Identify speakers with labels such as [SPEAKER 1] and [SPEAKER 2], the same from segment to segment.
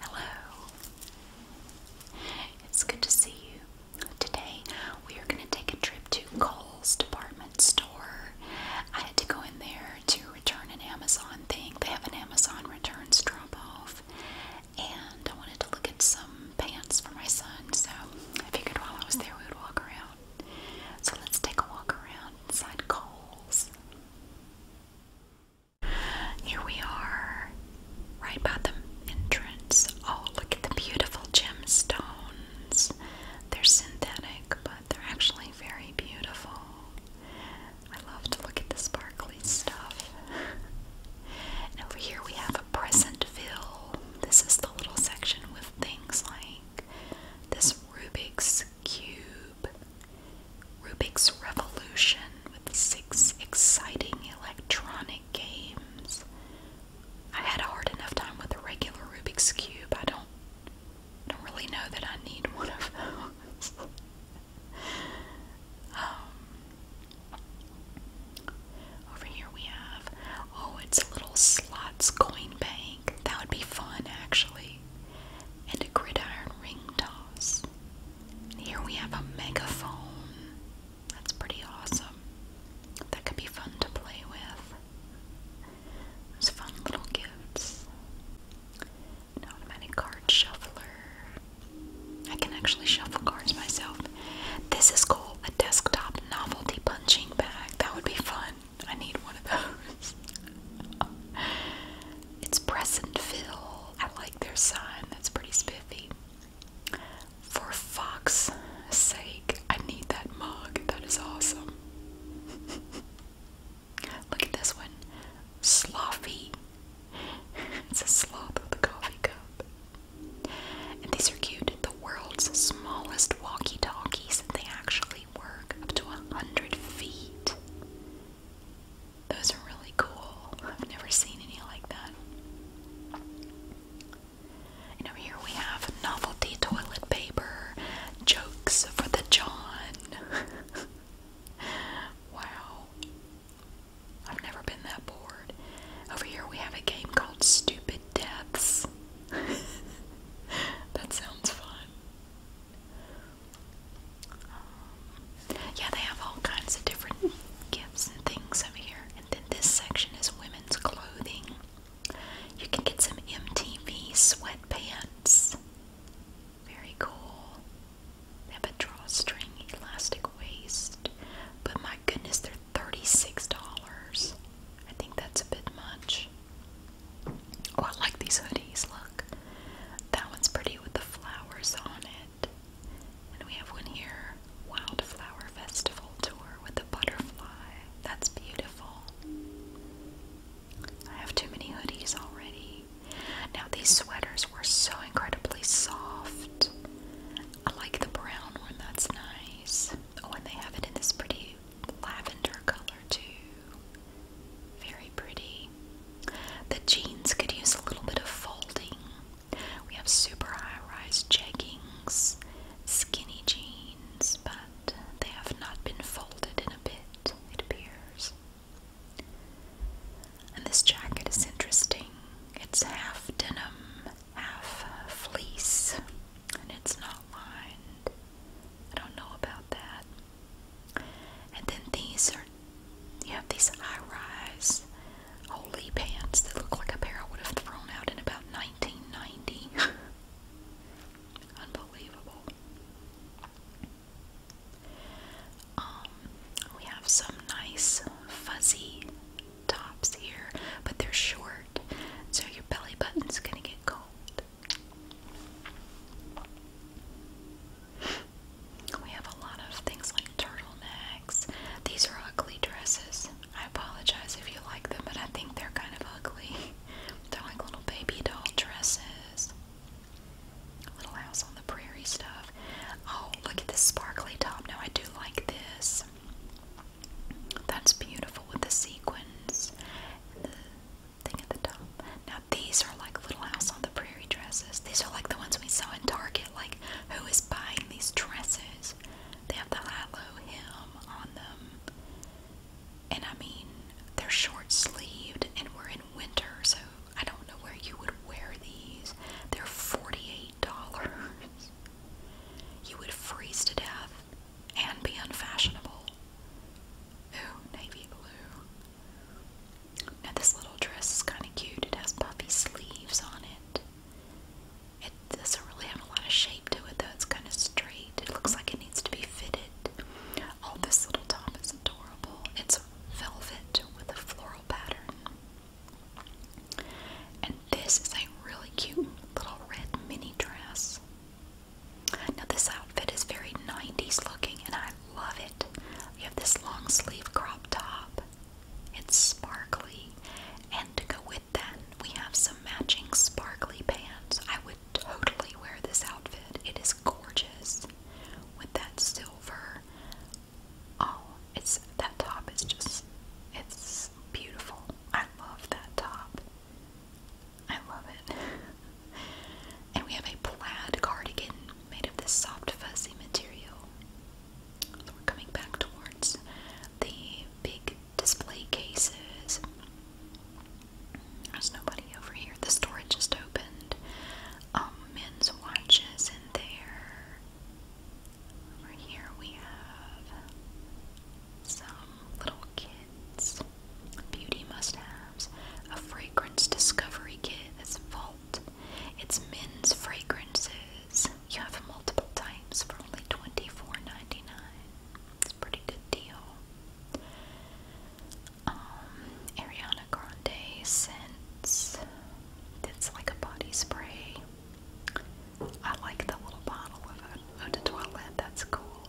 [SPEAKER 1] Hello. It's good to see you. Today we are going to take a trip to Kohl's department store. I had to go in there to return an Amazon thing. They have an Amazon returns drop off. And I wanted to look at some pants for my son, so I figured while I was there we would walk around. So let's take a walk around inside Kohl's. Here we are, right by the entrance. Oh, look at the beautiful gemstones. They're synthetic, but they're actually very beautiful. I love to look at the sparkly stuff. and over here we have a Presentville. This is the little section with things like this Rubik's Cube, Rubik's Revolution with six exciting electronic games. I had a hard enough time with a regular Rubik's Cube. I don't don't really know that I need one of those. Um, over here we have oh, it's a little slots coin bank. That would be fun actually. And a gridiron ring toss. Here we have a megaphone. That's pretty awesome. That could be fun to play with. There's fun little gifts. An card shuffler. I can actually shuffle cards myself. This is cool. A desktop novelty punching bag. That would be fun. I need one of those. It's Pleasantville. I like their sign. That's pretty spiffy. For Fox's sake, I need that mug. That is awesome. Look at this one. Sloppy. it's a sloth with a coffee cup. And these are cute. The world's smallest walkie talkies. They actually work up to a hundred feet. Those are really cool. I've never seen any like that. And over here we have novelty toilet paper, jokes for the John. wow. I've never been that bored. Over here we have a game called Stupid Deaths. that sounds fun yeah, they have all kinds of different gifts and things over here. And then this section is women's clothing. You can get some MTV sweatpants. Very cool. They have a drawstring elastic waist. But my goodness, they're $36. I think that's a bit much. Oh, I like these hoodies. Look, that one's pretty with the flowers on it. And we have one here Wildflower Festival Tour with a butterfly. That's beautiful. I have too many hoodies already. Now, these sweaters were so incredibly soft. I like the brown one, that's nice. Oh, and they have it in this pretty lavender color, too. Very pretty. The jeans could use a little bit of folding. We have super high rise jeggings, skinny jeans, but they have not been folded in a bit, it appears. And this jacket is interesting. It's half denim, half uh, fleece, and it's not lined. I don't know about that. And then these are you have these high-rise holy pants that look like a pair I would have thrown out in about 1990. Unbelievable. Um, we have some nice fuzzy tops here, but they're short, so your belly button's gonna get cold. We have a lot of things like turtlenecks. These are ugly dresses. I apologize if you like them, but I think they're kind of ugly. They're like little baby doll dresses. Little house on the prairie stuff. Oh, look at this sparkly top. Now I do like this. That's beautiful with the sequins thing at the top. Now these are like Little House on the Prairie dresses. These are like the ones we saw in Target. Like who is buying these dresses? They have the high hem on them. And I mean, they're short-sleeved and we're in winter, so I don't know where you would wear these. They're $48. You would freeze to death and be unfashionable. Ooh, navy blue. Now, this little dress is kind of cute. It has puffy sleeves on it. It doesn't really have a lot of shape to it, though. It's kind of straight. It looks like it needs to be fitted. Oh, this little top is adorable. It's velvet with a floral pattern. And this is a really cute little red mini dress. Now this outfit is very 90s looking and I love it. You have this long sleeve crop top. It's sparkly. And to go with that, we have some matching sparkly pants. I would totally wear this outfit. It is gorgeous with that silver. Oh, it's that top is just it's beautiful. I love that top. I love it. and we have a plaid cardigan made of this soft, fuzzy material. So we're coming back towards the big display cases. There's nobody over here. The store just opened. Um, men's watches in there. Over here we have some little kid beauty must-haves, a fragrance discovery kit a vault. It's men's fragrances. You have multiple types for only $24.99. It's a pretty good deal. Um, Ariana Grande scents. It's like a body spray. I like the little bottle of eau de toilette. That's cool.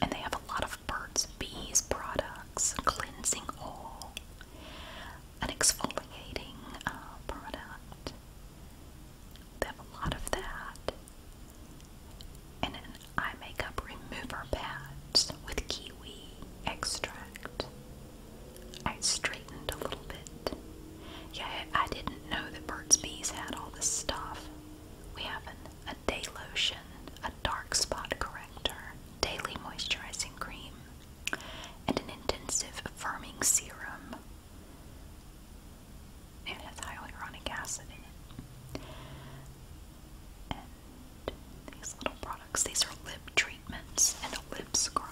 [SPEAKER 1] And they have a lot of Burt's Bees products, cleansing oil, an exfoliating uh, product. They have a lot of that. And an eye makeup remover pads with kiwi extract. I straightened a little bit. Yeah, I didn't know that Burt's Bees had all this stuff. We have not day lotion, a dark spot corrector, daily moisturizing cream, and an intensive firming serum. It has hyaluronic acid in it. And these little products, these are lip treatments and a lip scrub.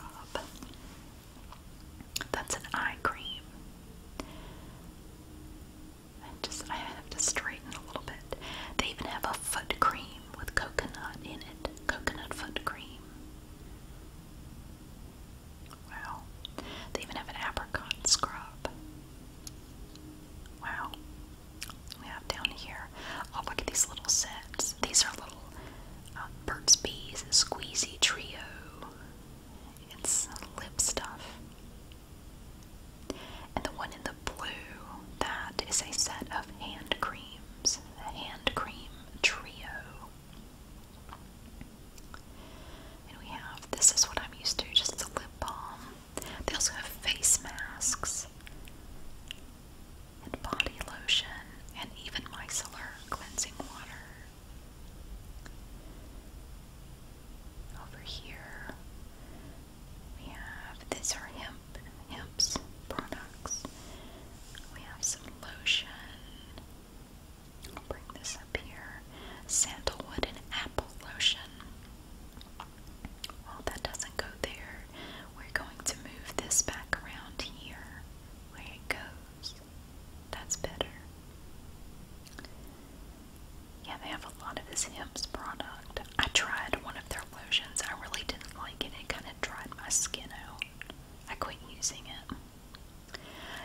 [SPEAKER 1] That's an eye cream just I have to straighten a little bit. They even have a foot cream with coconut in it. Coconut foot cream. Wow. They even have an apricot scrub. Wow. We have down here. Oh, look at these little sets. These are little uh, Burt's Bees Squeezy Trio. It's lip stuff. And the one in the blue, that is a set of hand creams, the hand cream trio. And we have this is what I'm used to, just a lip balm. They also have face masks and body lotion and even micellar cleansing water. Over here, we have these are hemp, hemp's products. We have some lotion. I'll bring this up here. Sandalwood and apple lotion. Well, that doesn't go there. We're going to move this back around here where it goes. That's better. Yeah, they have a lot of this Hims product. I tried one of their lotions. I really didn't like it. It kind of dried my skin out. I quit using it.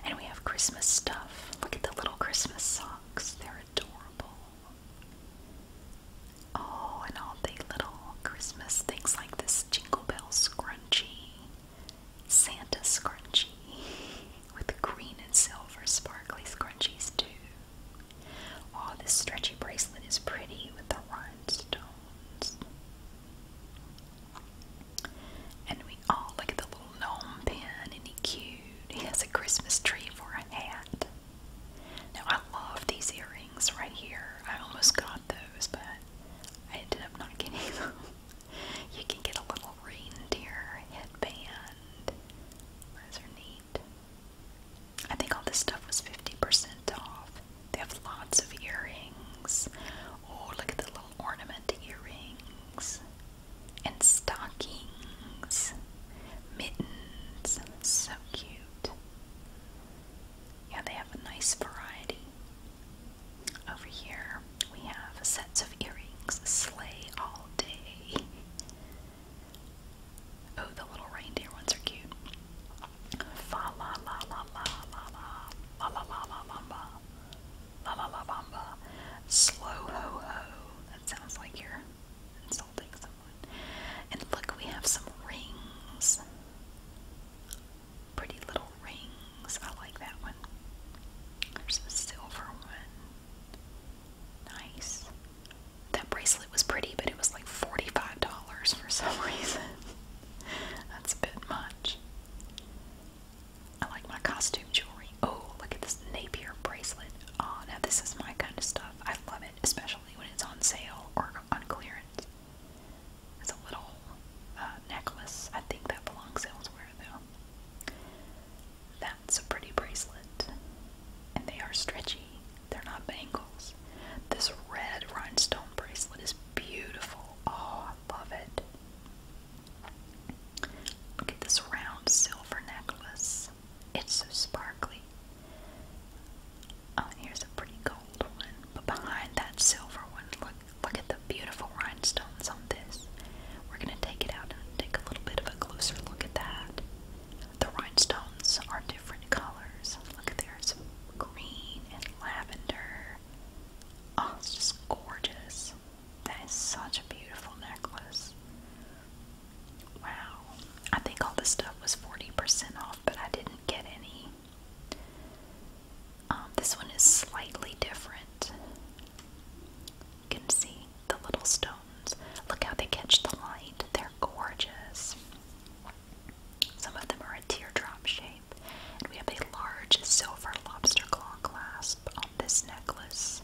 [SPEAKER 1] And we have Christmas stuff. Look at the little Christmas socks. They're adorable. Oh, and all the little Christmas things like this Jingle Bell scrunchie, Santa scrunchie. with green and silver sparkly scrunchies too. Oh, this stretchy bracelet is pretty with the rhinestones. And we all oh, look at the little gnome pin, and he cute. He has a Christmas tree for a hat. Now I love these earrings right here. I almost got those, but I ended up not getting them. you can get a little reindeer headband those are neat. I think all this stuff was 50% off. They have lots of earrings. Oh, look at the little ornament earrings. And stockings. Mittens. So cute. Yeah, they have a nice variety. Over here, we have sets of earrings slay all day. Oh, the little reindeer ones are cute. Fa la la la la la la la la la la bamba. La la la bamba. Slow ho ho. That sounds like you're insulting someone. And look, we have some rings. Pretty little rings. I like that one. There's a silver one. Nice. That bracelet was pretty, but it was like $45 for some reason. That's a bit much. I like my costume jewelry. Oh, look at this Napier bracelet. Oh, now this is my kind of stuff. I love it, especially when it's on sale or on clearance. It's a little uh, necklace. I think that belongs elsewhere, though. That's a pretty bracelet. And they are stretchy, they're not bangles. This red rhinestone bracelet is beautiful. Oh, I love it. Look at this round silver necklace. It's so sparkly. Oh, here's a pretty gold one. But behind that silver one, look look at the beautiful rhinestone sounds on this. We're going to take it out and take a little bit of a closer look at that. The rhinestones are different colors. Look, there's green and lavender. Oh, it's just gorgeous. That is such a beautiful necklace. Wow. I think all this stuff was 40% off, but I didn't get any. Um, this one is slightly different. You can see the little stones. Look how they catch the light. They're gorgeous. Some of them are a teardrop shape, and we have a large silver lobster claw clasp on this necklace.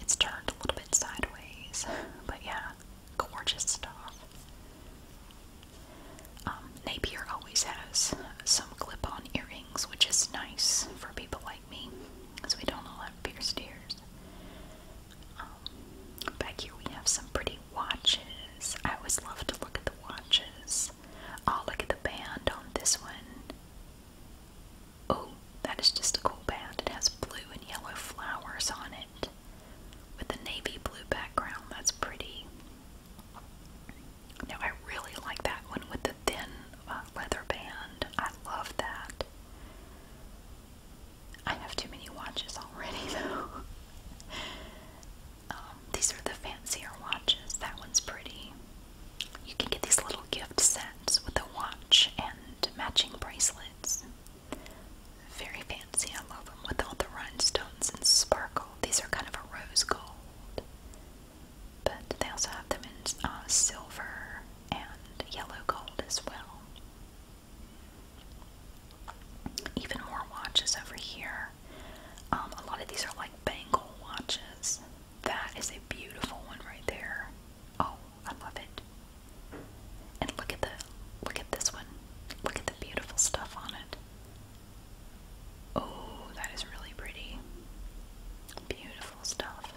[SPEAKER 1] It's turned a little bit sideways, but yeah, gorgeous stuff. Um, Napier always has some clip on earrings, which is nice for people like me, because we don't all have um, back here we have some pretty watches. I always love to look at the watches. Oh, look at the band on this one. Oh, that is just a cool band. It has blue and yellow flowers on it with a navy blue background. That's pretty. Now, I really like that one with the thin uh, leather band. I love that. I have too many watches already, though. Um, these are the fancier watches. That one's pretty. You can get these little gift sets with a watch and matching bracelets. Very fancy. I love them with all the rhinestones and sparkle. These are kind of a rose gold but they also have them in uh, silver and yellow gold as well. Even more watches over here. Um, a lot of these are like bangle watches. That is a beautiful one right there. Oh, I love it. And look at the look at this one. Look at the beautiful stuff on it. Oh, that is really pretty. Beautiful stuff.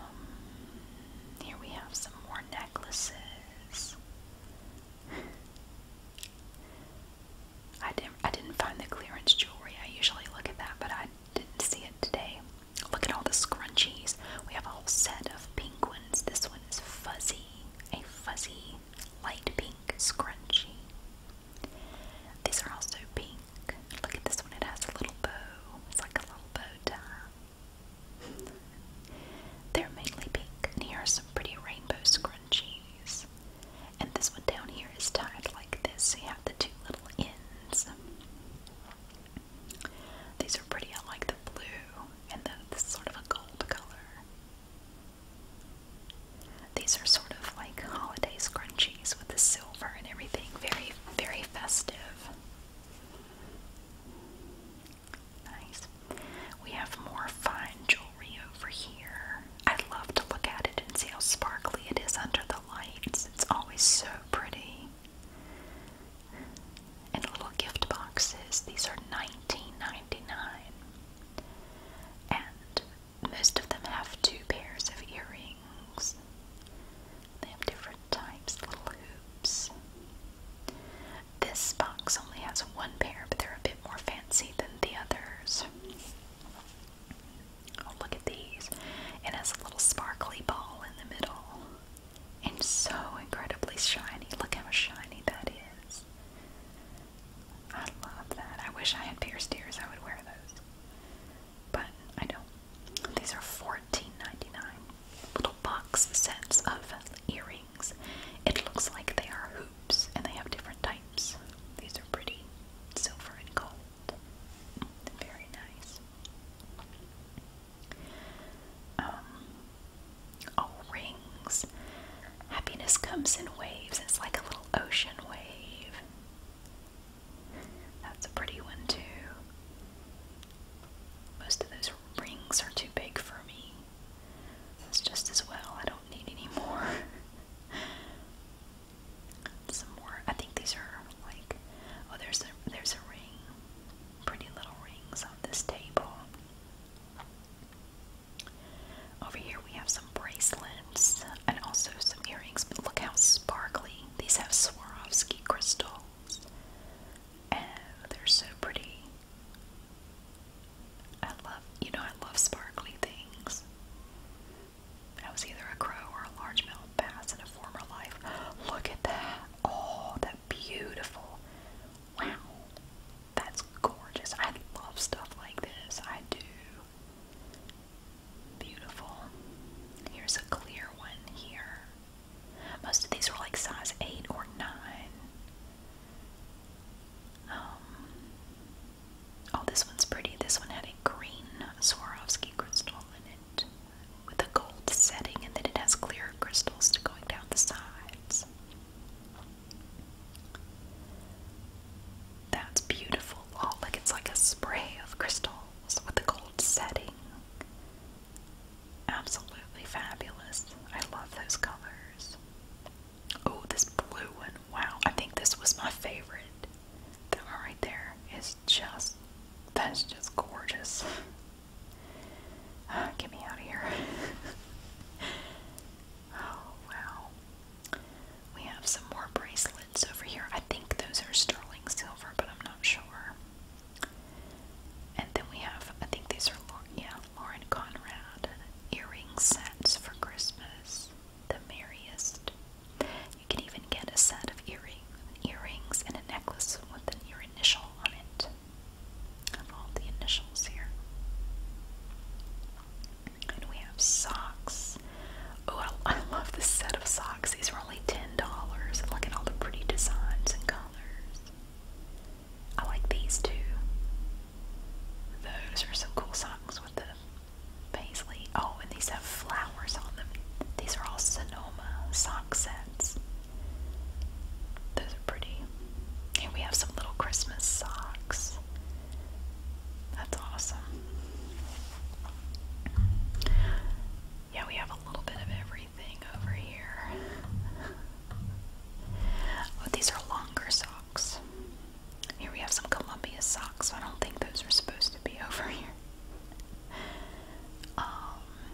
[SPEAKER 1] Um, here we have some more necklaces. I didn't I didn't find the clearance jewelry. I usually look at that, but I didn't see it today. Look at all the scrunchies. We have a whole set of penguins. This one is fuzzy, a fuzzy light pink scrunchie. These are also pink. Look at this one, it has a little bow. It's like a little bow tie. They're mainly pink, and here are some pretty rainbow scrunchies. And this one down here is tied like this, so you have the two little ends. These are pretty, I like the blue and the, sort of a gold color. These are sort of like holiday scrunchies with the silver and everything. Very, very festive. Nice. We have more fine jewelry over here. I love to look at it and see how sparkly it is under the lights. It's always so pretty. And little gift boxes. These are $19.99. And most of them have two pairs of earrings. They have different types, little hoops. This box only has one pair, but they're a bit more fancy than the others. Oh, look at these. It has a little sparkly ball in the middle. And so incredibly shiny. Look how shiny that is. I love that. I wish I had pierced ears. I would wear those. But I don't. These are 14 Little box sets of earrings. It looks like they are hoops and they have different types. These are pretty silver and gold. Very nice. Um, oh, rings. Happiness comes in waves. It's like a little ocean wave. That's a pretty one, too. Most of those rings are too big for me. That's just as well. I don't need any more. Some more. I think these are like oh, there's a there's a ring. Pretty little rings on this table. Over here we have some bracelets and also some earrings, but look how sparkly. These have Swarovski crystals. And they're so pretty. I love, you know, I love sparkly things. I was either a crow or a large largemouth bass in a former life. Look at that. Oh, that beautiful. Wow. That's gorgeous. I love stuff like this. I do. Beautiful. Here's a clear one here. Most of these were like size 8 or 9. Um, oh, this one's pretty. This one had a green Swarovski crystal in it with a gold setting, and then it has clear crystals going down the sides. That's beautiful. Oh, look, it's like a spray of crystals with the gold setting. Absolutely fabulous. I love those colors. Oh, this blue one. Wow, I think this was my favorite. That right there is just, that's just gorgeous. get me out of here. oh, wow. We have some more bracelets over here. I think those are sterling silver, but I'm not sure. And then we have, I think these are, yeah, Lauren Conrad earring sets for Christmas. The merriest. You can even get a set of earring, earrings and a necklace with an, your initial on it. have all the initials here. And we have socks. Oh, I, love this set of socks. These were only $10. And Look at all the pretty designs and colors. I like these too. Those are some cool socks with the paisley. Oh, and these have flowers on them. These are all Sonoma sock sets. Those are pretty. And we have some little Christmas socks. That's awesome. Yeah, we have a little bit of everything over here. Oh, these are longer socks. Here we have some Columbia socks. I don't think those are supposed to be over here. Um,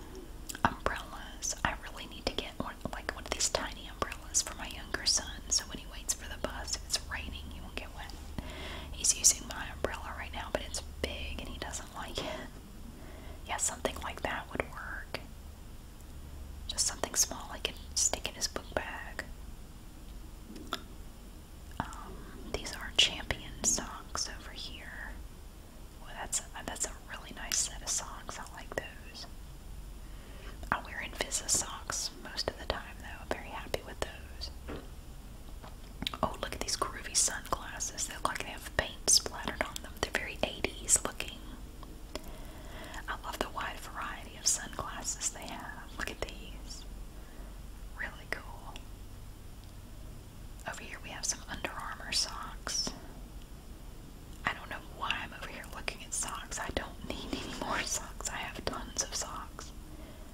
[SPEAKER 1] umbrellas. I really need to get one, like one of these tiny umbrellas for my younger son, so when he waits for the bus, if it's raining, he won't get wet. He's using my umbrella right now, but it's big and he doesn't like it. Yeah, something like that would work. Just something small I can stick in his book bag. Um, these are champion socks over here. Well, that's a, that's a really nice set of socks. I like those. I wear Invisa socks most of the time, though. very happy with those. Oh, look at these groovy sunglasses. They look like they have paint splattered on them. They're very 80s looking. I love the wide variety of sunglasses they have. Look at these. Really cool. Over here we have some Under Armour socks. I don't know why I'm over here looking socks. I don't need any more socks. I have tons of socks.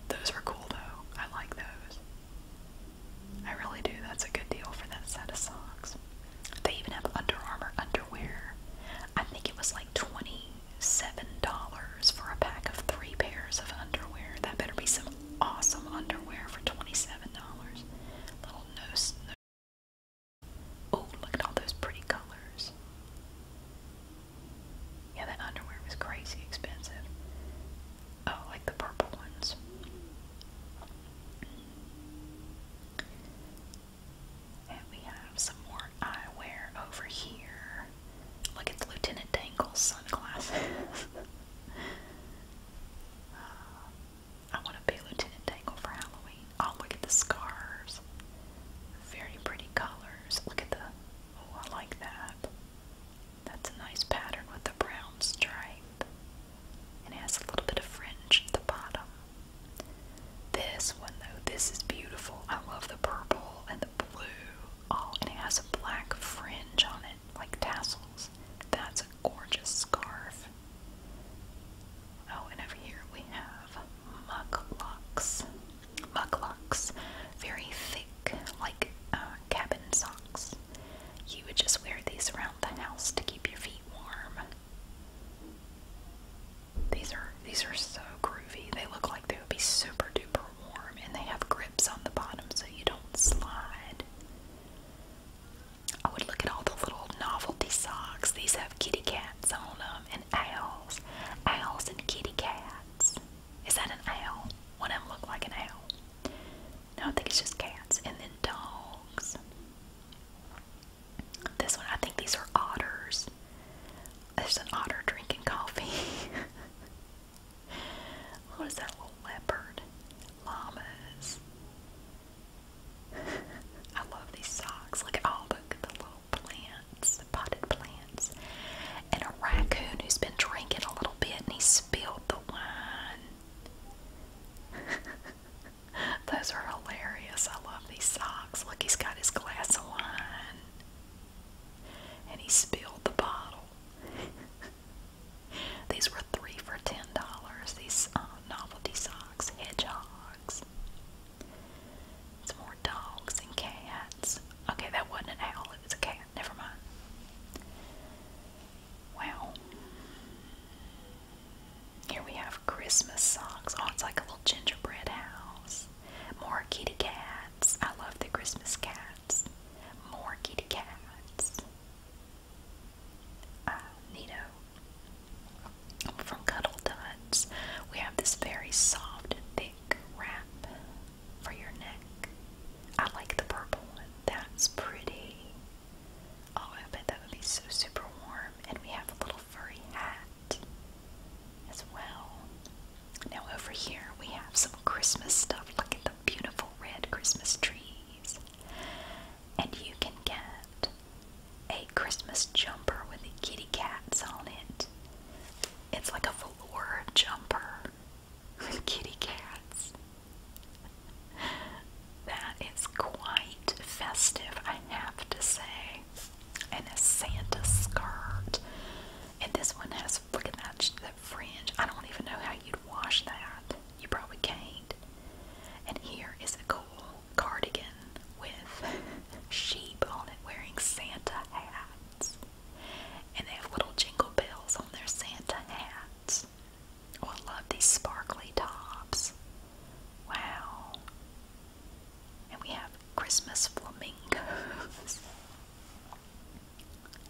[SPEAKER 1] Those are cool though. I like those. I really do. That's a good deal for that set of socks. They even have Under Armour underwear. I think it was like $27 for a pack of three pairs of underwear. That better be some awesome underwear for $27. Little nose. No oh, look at all those pretty colors. Yeah, that underwear was crazy expensive. Oh, like the purple ones. And we have some more eyewear over here. Look at Lieutenant Dangle's sunglasses. Uh, I want to be Lieutenant Dangle for Halloween. Oh, look at the scarves. Very pretty colors. Look at the, oh, I like that. That's a nice pattern with the brown stripe. And it has a little bit of fringe at the bottom. This one, though, this is beautiful. I love the purple and the blue. Oh, and it has a black fringe on it, like tassels. That's a gorgeous scarf. Oh, and over here we have mucklucks muglucks, very thick, like uh, cabin socks. You would just wear these around the house to keep your feet warm. These are these are so groovy. They look like they would be super duper warm, and they have grips on the bottom so you don't slide. I would look at all the little novelty socks. These have kitty cats on them, and owls. and kitty cats. Is that an owl? One of them look like an owl. No, I think it's just cats. And then dogs. This one, I think these are otters. There's an otter drinking coffee. what is that little leopard? Llamas. I love these socks. Look at all the, the little plants, potted plants, and a raccoon who's been drinking a little bit and he spilled the wine. Those are hilarious. I love these socks. Look, he's got his glass of wine and he spilled the bottle. These were three for ten dollars. These uh, novelty socks, hedgehogs. It's more dogs and cats. Okay, that wasn't an owl, it was a cat. Never mind. Wow. Here we have Christmas socks. Oh, it's like a little gingerbread house. More kitty cats. I love the Christmas cats. More kitty cats. Uh, from Cuddle Dots, we have this very soft, thick wrap for your neck. I like the purple one. That's pretty. Oh, I bet that would be so super warm. And we have a little furry hat as well. Now, over here, we have some Christmas stuff. Look at the beautiful red Christmas trees. And you can get a Christmas jumper with the kitty cats on it. It's like a velour jumper with kitty cats. That is quite festive, I have to say. And a Santa skirt. And this one has, look at that, that fringe. I don't even know how you'd wash that. You probably can't. And here is a coat cardigan with sheep on it wearing Santa hats. And they have little jingle bells on their Santa hats. Oh, I love these sparkly tops. Wow. And we have Christmas flamingos.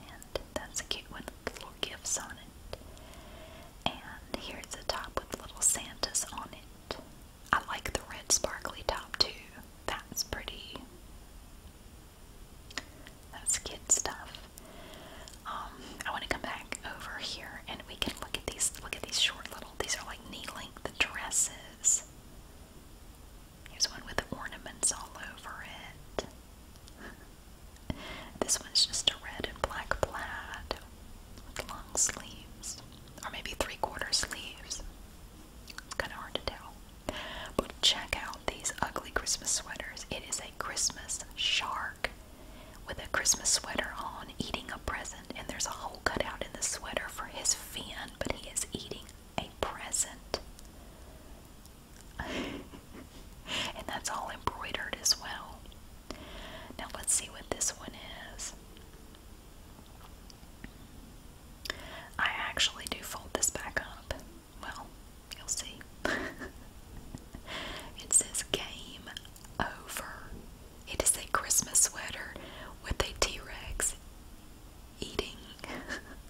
[SPEAKER 1] and that's a cute one with little gifts on it. And here's a top with little Santas on it. I like the red sparkly top too. That's pretty. That's kid stuff. Um, I want to come back over here and we can look at these. Look at these short little. These are like knee-length dresses. Here's one with ornaments all over it. this one's just a red and black plaid long sleeves, or maybe three quarter sleeves. kind of hard to tell. But check out these ugly Christmas sweaters. It is a Christmas shark with a Christmas sweater on eating a present, and there's a hole cut out in the sweater for his fin, but he is eating a present. and that's all embroidered as well. Now let's see what this one is. I actually do fold this back up. Well, you'll see. it says game over. It is a Christmas sweater with a T Rex eating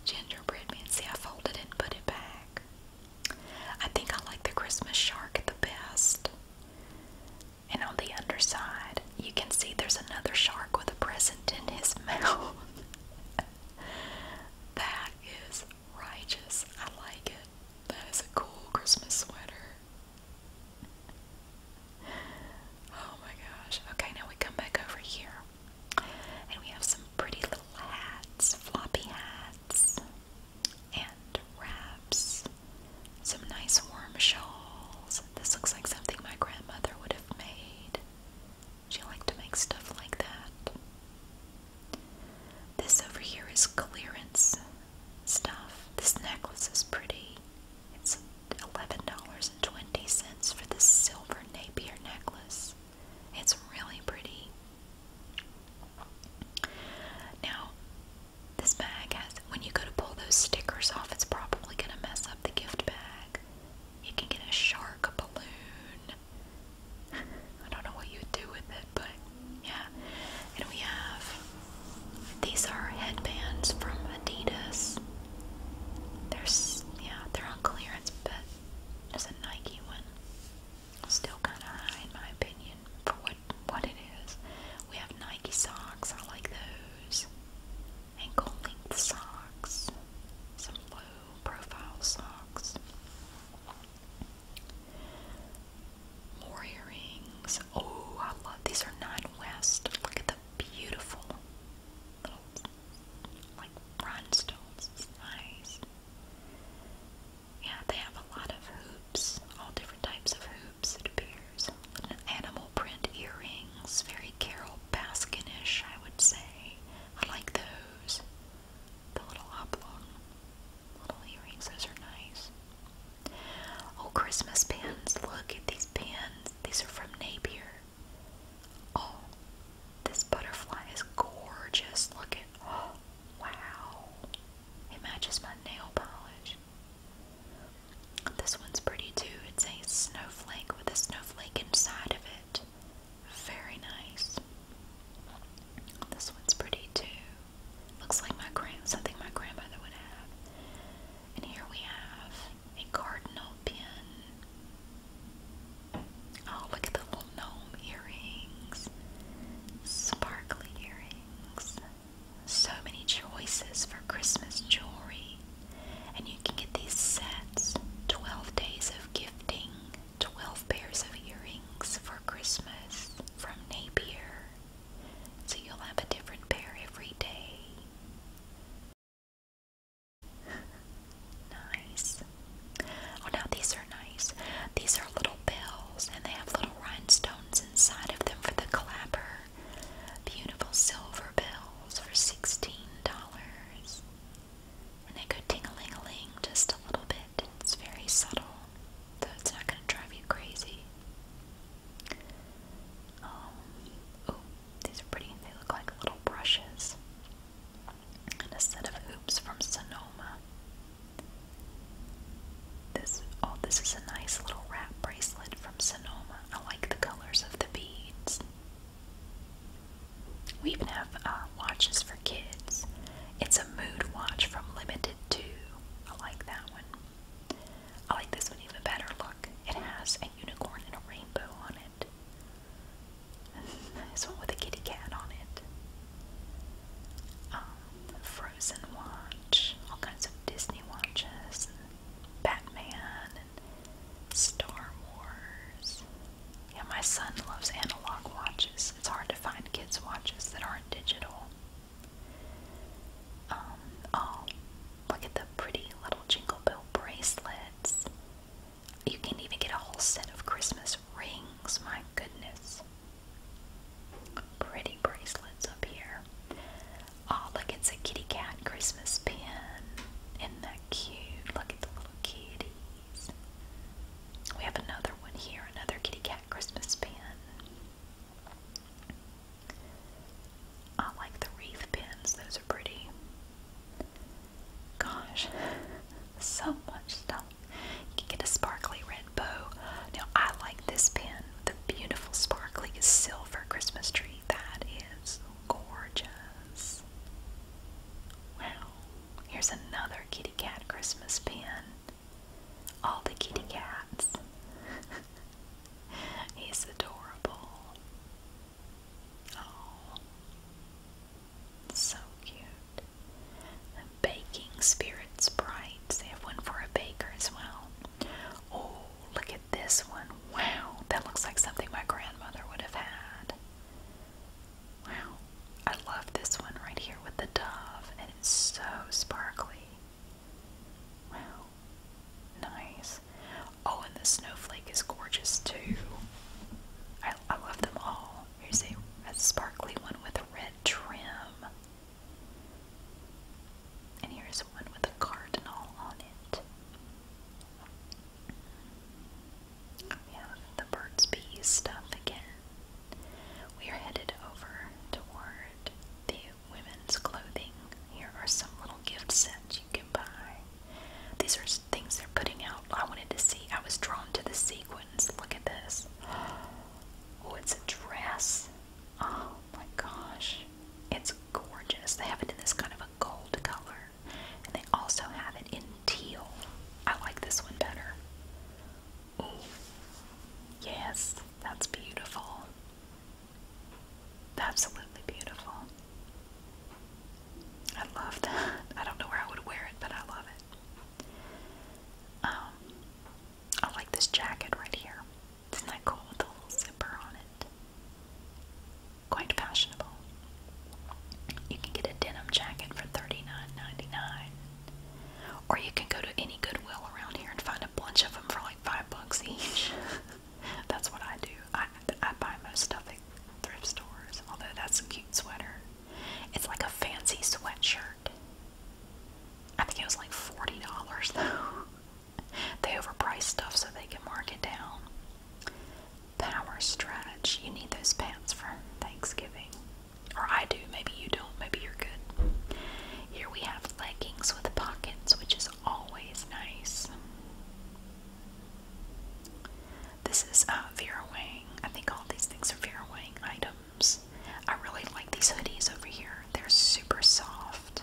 [SPEAKER 1] gingerbread man. See, I folded it and put it back. I think I like the Christmas shark the best. And on the underside, you can see there's another shark with a present in his mouth. that is righteous. I like it. That is a cool Christmas sweater. Oh my gosh. Okay, now we come back over here. And we have some pretty little hats, floppy hats, and wraps. Some nice warm shawls. This looks like something my grandmother would have made. She liked to make stuff like that. This over here is clearance stuff. This necklace is pretty. It's $11.20 for this silver Napier necklace. It's really pretty. Now, this bag has, when you go to pull those stickers off, it's probably going to mess up the gift bag. You can get a shark, balloon. I don't know what you would do with it, but yeah. And we have, these are headbands from Adidas. There's, yeah, they're on clearance, but there's a Nike one. Still kind of high in my opinion for what what it is. We have Nike socks. I like those. Ankle length socks. Some low profile socks. More earrings. Oh, I love these. Are Nine West. Look at the beautiful little like rhinestones. It's nice. Yeah, they have a lot of hoops, all different types of hoops, it animal print earrings, very Carol Baskin-ish, I would say. I like those. The little oblong little earrings, those are nice. Oh, Christmas pins! Look at these pins. These are from Napier. Oh, this butterfly is gorgeous. Look at oh, wow. It matches my nail polish. This one's pretty too. It's a snowflake with a snowflake inside of it. Very nice. This one's pretty too. Looks like my grand something my grandmother would have. And here we have a cardinal pin. Oh, look at the little gnome earrings. Sparkly earrings so many choices for Christmas jewelry. And you can get these sets 12 days of gifting, 12 pairs of earrings for Christmas from Napier. So you'll have a different pair every day. nice. Oh, now these are nice. These are little bells, and they have little rhinestones inside of them for the clapper beautiful silver bells for sixteen dollars. they go ting a ling just a little bit. It's very subtle, though it's not going to drive you crazy. oh, these are pretty. They look like little brushes. And a set of hoops from Sonoma. This oh, this is a nice little wrap bracelet from Sonoma. I like the colors of the beads. We even have uh, watches for kids. It's a mood watch from Limited 2. I like that one. I like this one even better. Look, it has a unicorn and a rainbow on it. This one with a kitty cat on it. Um, Frozen watch, all kinds of Disney watches, and Batman, and Star Wars. Yeah, my son loves analog watches. It's hard to find kids' watches that aren't digital. Um, oh, look at the pretty little Jingle Bell bracelets. You can even get a whole set of Christmas rings, my goodness. Pretty bracelets up here. Oh, look, it's a kitty cat Christmas pin. Isn't that cute? Look at the little kitties. We have another one here, another kitty cat Christmas pin. I like the wreath pins, those are pretty. Gosh, so much stuff. You can get a sparkly red now, I like this pin. The beautiful, sparkly silver Christmas tree. That is gorgeous. Wow. Here's another kitty cat Christmas pin. All the kitty cats. He's adorable. Oh. So cute. baking spirits bright. They have one for a baker as well. Oh, look at this one. Wow, that looks like something my grandmother would have had. Wow, I love this one right here with the dove, and it's so sparkly. Wow, nice. Oh, and the snowflake is gorgeous too. I, I love them all. Here's a, a sparkly one with a red trim. And here's one with a cardinal on it. We have the Burt's stuff again. We are headed over toward the women's clothing. Here are some little gift sets you can buy. These are things they're putting out. I wanted to see. I was drawn to the sequins. Look at this. Oh, it's a dress. Oh my gosh. It's gorgeous. They have it in this kind of a gold color. And they also have it in teal. I like this one better. Ooh. Yes, that's beautiful. Absolutely beautiful. I love that. I don't know where I would wear it, but I love it. Um, I like this jacket right here. Isn't that cool with the little zipper on it? Quite fashionable. You can get a denim jacket for $39.99. Or you can go to any Goodwill around here and find a bunch of them for like five bucks each. that's what I do. I, I buy most stuff at thrift stores, although that's a cute sweater. It's like a fancy sweatshirt. I think it was like $40 though. they overprice stuff so they can mark it down. Power stretch. You need those pants for Thanksgiving. Or I do. Maybe you don't. Maybe you're good. Here we have leggings with pockets, which is always nice. This is a uh, Vera Wang. I think all these things are Vera Wang items. I really like these hoodies over here. They're super soft.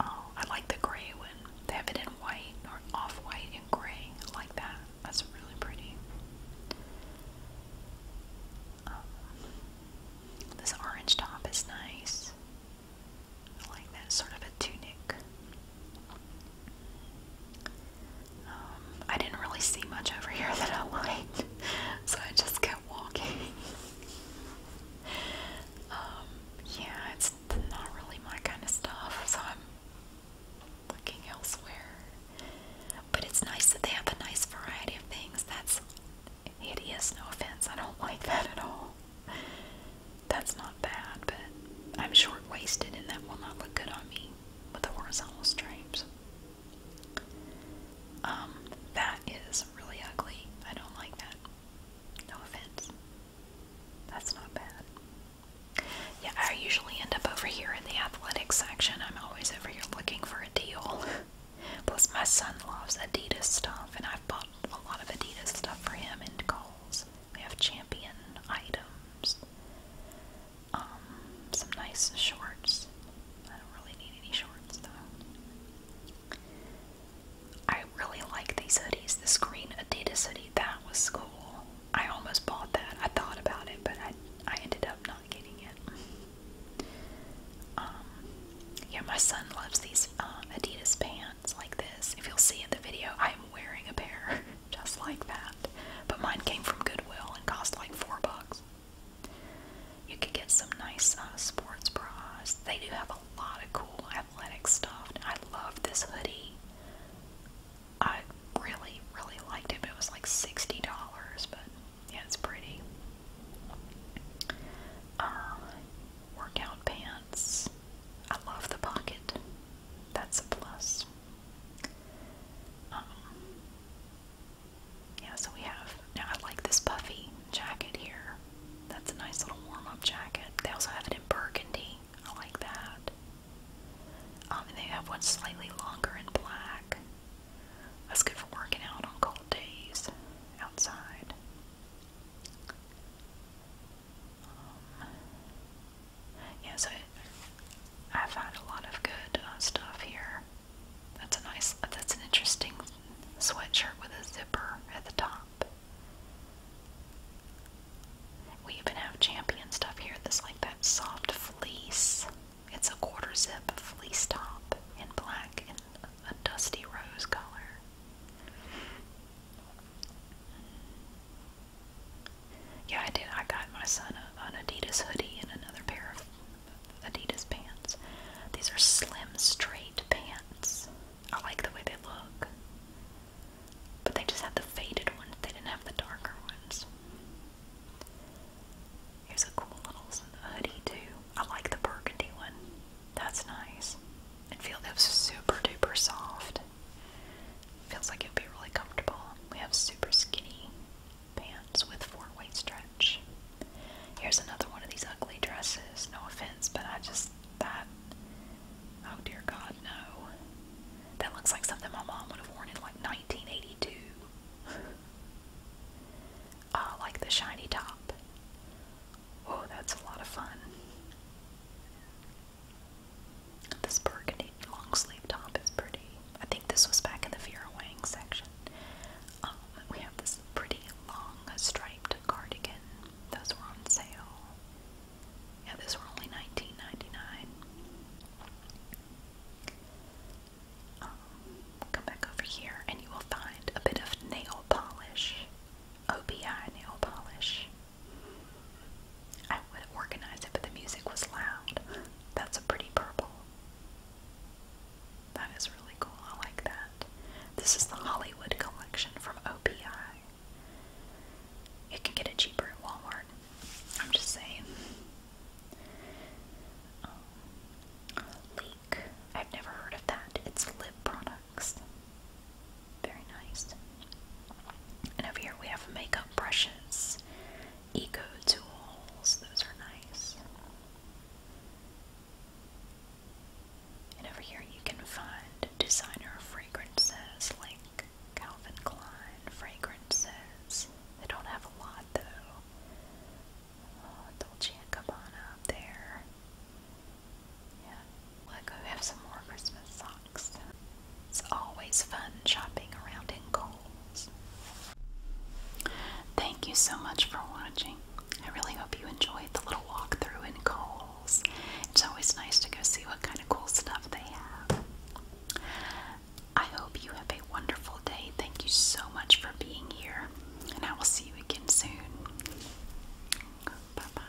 [SPEAKER 1] Um, I like the gray one. They have it in white or off-white and gray. I like that. That's really pretty. Um, this orange top is nice. I like that. Sort of a tunic. Um, I didn't really see much over here that I liked, so I just go I'm um, yeah, it's not really my kind of stuff, so I'm looking elsewhere. But it's nice that they have a nice variety of things. That's hideous, no offense. I don't like that at all. That's not bad, but I'm short waisted and that will not look good on me with the horizontal stripes. Um, that is really ugly. I don't like that. No offense. That's not bad. Yeah, I usually end up over here in the athletic section. I'm always over here looking for a deal. Plus, my son loves Adidas stuff, and I've bought a lot of Adidas stuff for him and Kohl's. we have champion items, um, some nice shorts. I don't really need any shorts though. I really like these hoodies. This green Adidas hoodie, that was cool. I almost bought that. I thought about it, but I I ended up not getting it. Um, yeah, my son loves these um, Adidas pants like this. If you'll see in the video, I'm wearing a pair just like that. But mine came from Goodwill and cost like four bucks. You could get some nice uh, sports bras. They do have a lot of cool athletic stuff. I love this hoodie. I really, really liked it. But it was like $60, but yeah, it's pretty. Uh, workout pants. I love the pocket. That's a plus. Um, yeah, so we have, now I like this puffy jacket here. That's a nice little warm-up jacket. They also have it in burgundy. I like that. Um, and they have one slightly longer in black. That's good for working out on cold days outside. Um, yeah, so I, I've had a lot of good uh, stuff here. That's a nice, that's an interesting sweatshirt with a zipper at the top. We even have champion stuff here that's like that soft fleece. It's a quarter zip fleece top in black and a dusty rose color. Yeah, I did. I got my son a, an Adidas hoodie and another pair of Adidas pants. These are slim, straight pants. I like the way they look. But they just had the faded ones, they didn't have the darker ones. Here's a cool little hoodie, too. I like the burgundy one. That's nice. It feels super duper soft. Feels like it'd be really comfortable. We have super skinny pants with four-way stretch. Here's another one of these ugly dresses. No offense, but I just that. Oh dear God, no. That looks like something my mom would have worn in like 1982. Ah, like the shiny top. Oh, that's a lot of fun. This burgundy long sleeve top is pretty. I think this was back in the Vera Wang section. Um, we have this pretty long striped cardigan. Those were on sale. Yeah, those were only $19.99. Um, come back over here and you will find a bit of nail polish. OBI nail polish. I would organize it, but the music was loud. That's a pretty purple. That is really cool. I like that. This is the Hollywood collection from OPI. You can get it cheaper at Walmart. I'm just saying. Um, I've never heard of that. It's lip products. Very nice. And over here we have makeup brushes eco tools, those are nice. And over here you can find designer fragrances like Calvin Klein fragrances. They don't have a lot though. Oh, Dolce & Gabbana there. Yeah, look, we have some more Christmas socks. It's always fun shopping around in Kohl's. Thank you so much for watching. I really hope you enjoyed the little walk through in Kohl's. It's always nice to go see what kind of cool stuff they have. I hope you have a wonderful day. Thank you so much for being here, and I will see you again soon. Bye bye.